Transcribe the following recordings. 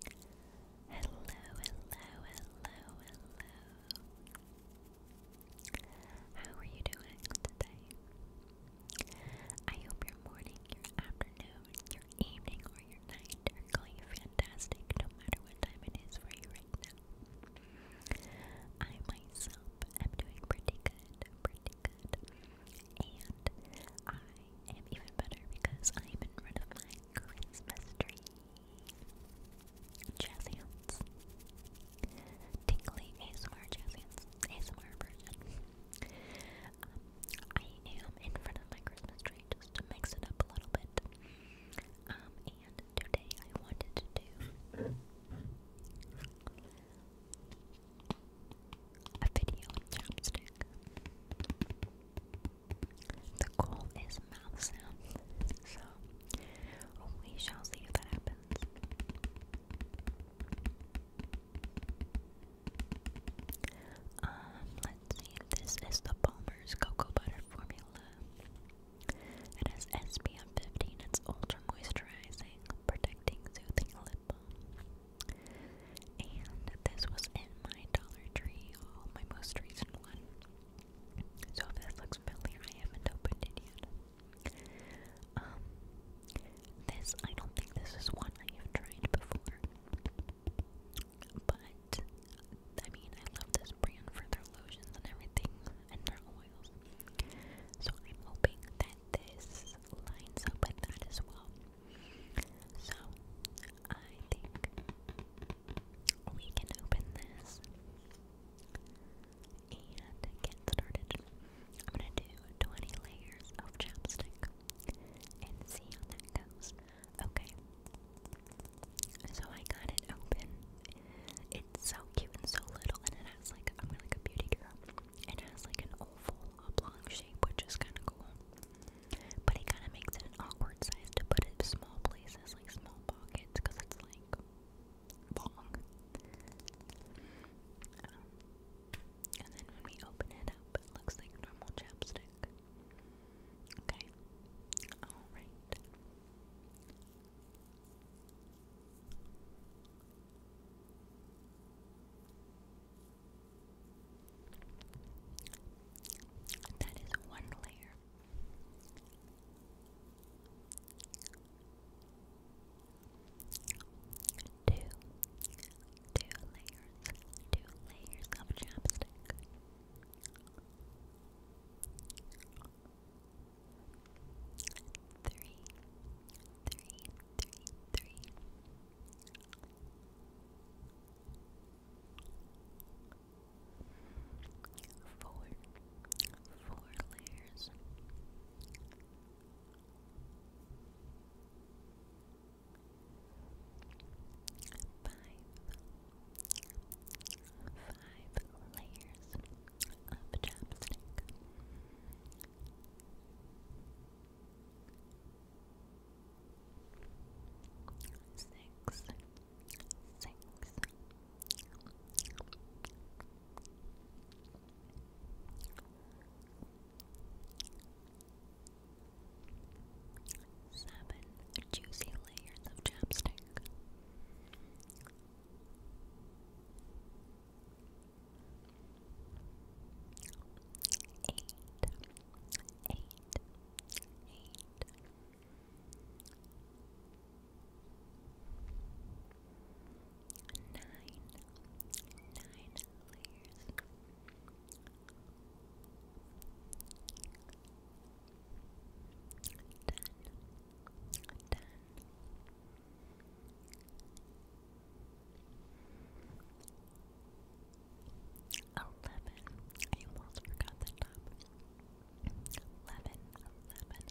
Hello, hello, hello, hello. How are you doing today? I hope your morning, your afternoon, your evening, or your night are going fantastic no matter what time it is for you right now. I myself am doing pretty good, pretty good. And I I am even better because I am in rid of my Christmas tree. Jazz hands. Tingly ASMR jazz hands. ASMR version. Um, I am in front of my Christmas tree just to mix it up a little bit. Um, and today I wanted to do a video on chapstick. The goal is mouth sounds, so we shall see if that happens. Um, let's see. This is the Palmer's Cocoa Butter Formula. It has SPF 15. It's ultra moisturizing, protecting, soothing, and this was in my Dollar Tree oh, my most recent one. So if this looks familiar, I haven't opened it yet. Um, this, I don't think this is one I have tried before. But, I mean, I love this brand for their lotions and everything, and their oils. So I'm hoping that this lines up with that as well. So I think we can open this and get started. I'm gonna do 20 layers of chapstick and see how that goes. Okay. So I got it open. It's so cute and so little and it has like I'm like a beauty girl. It has like an oval oblong shape, which is kind of cool. But it kind of makes it an awkward size to put in small places, like small pockets, because it's like long. Um, and then when we open it up, it looks like normal chapstick. Okay. Alright. That is one layer. Two, two layers, two layers of chapstick three, three, three, three. layers. Five, five layers of chapstick. Six, six. Seven juicy layers of chapstick eight, eight. Nine, nine layers. Ten, ten, eleven. I almost forgot the top. Eleven, eleven, eleven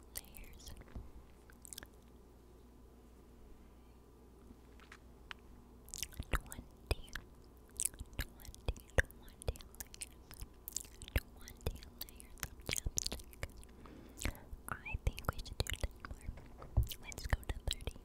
layers. Twenty, twenty, twenty layers, twenty layers of chapstick. I think we should do ten more. Let's go to thirty. Okay.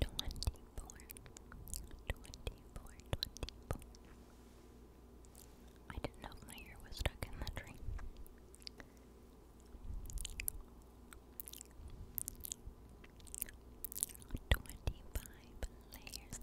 24 24 I didn't know my ear was stuck in the tree. Twenty-five layers of chapstick.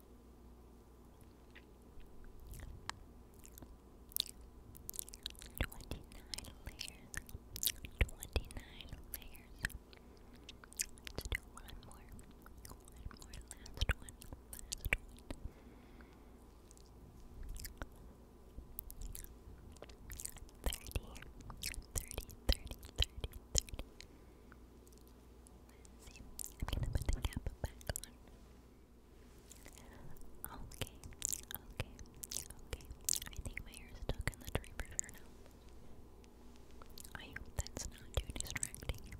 Twenty-nine layers. Twenty-nine layers. let one more. One more. Last one. Last one. Thirty. Thirty. Thirty. Thirty. Thirty. 30 30 30 30 30 I'm gonna put the cap back on. Okay, okay, okay. I think my hair stuck in the tree now. I hope that's not too distracting.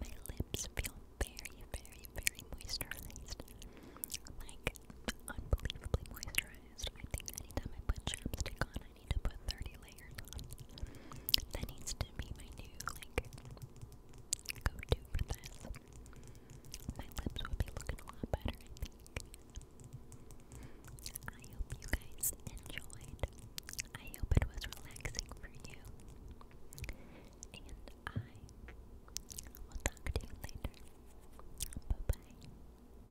My lips feel very, very, very moisturized. Like, unbelievably moisturized. anytime I put chapstick on, I need to put 30 layers on. That needs to be my new, like, go-to for this. My lips would be looking a lot better, I think. I hope you guys enjoyed. I hope it was relaxing for you. And I will talk to you later. Bye-bye.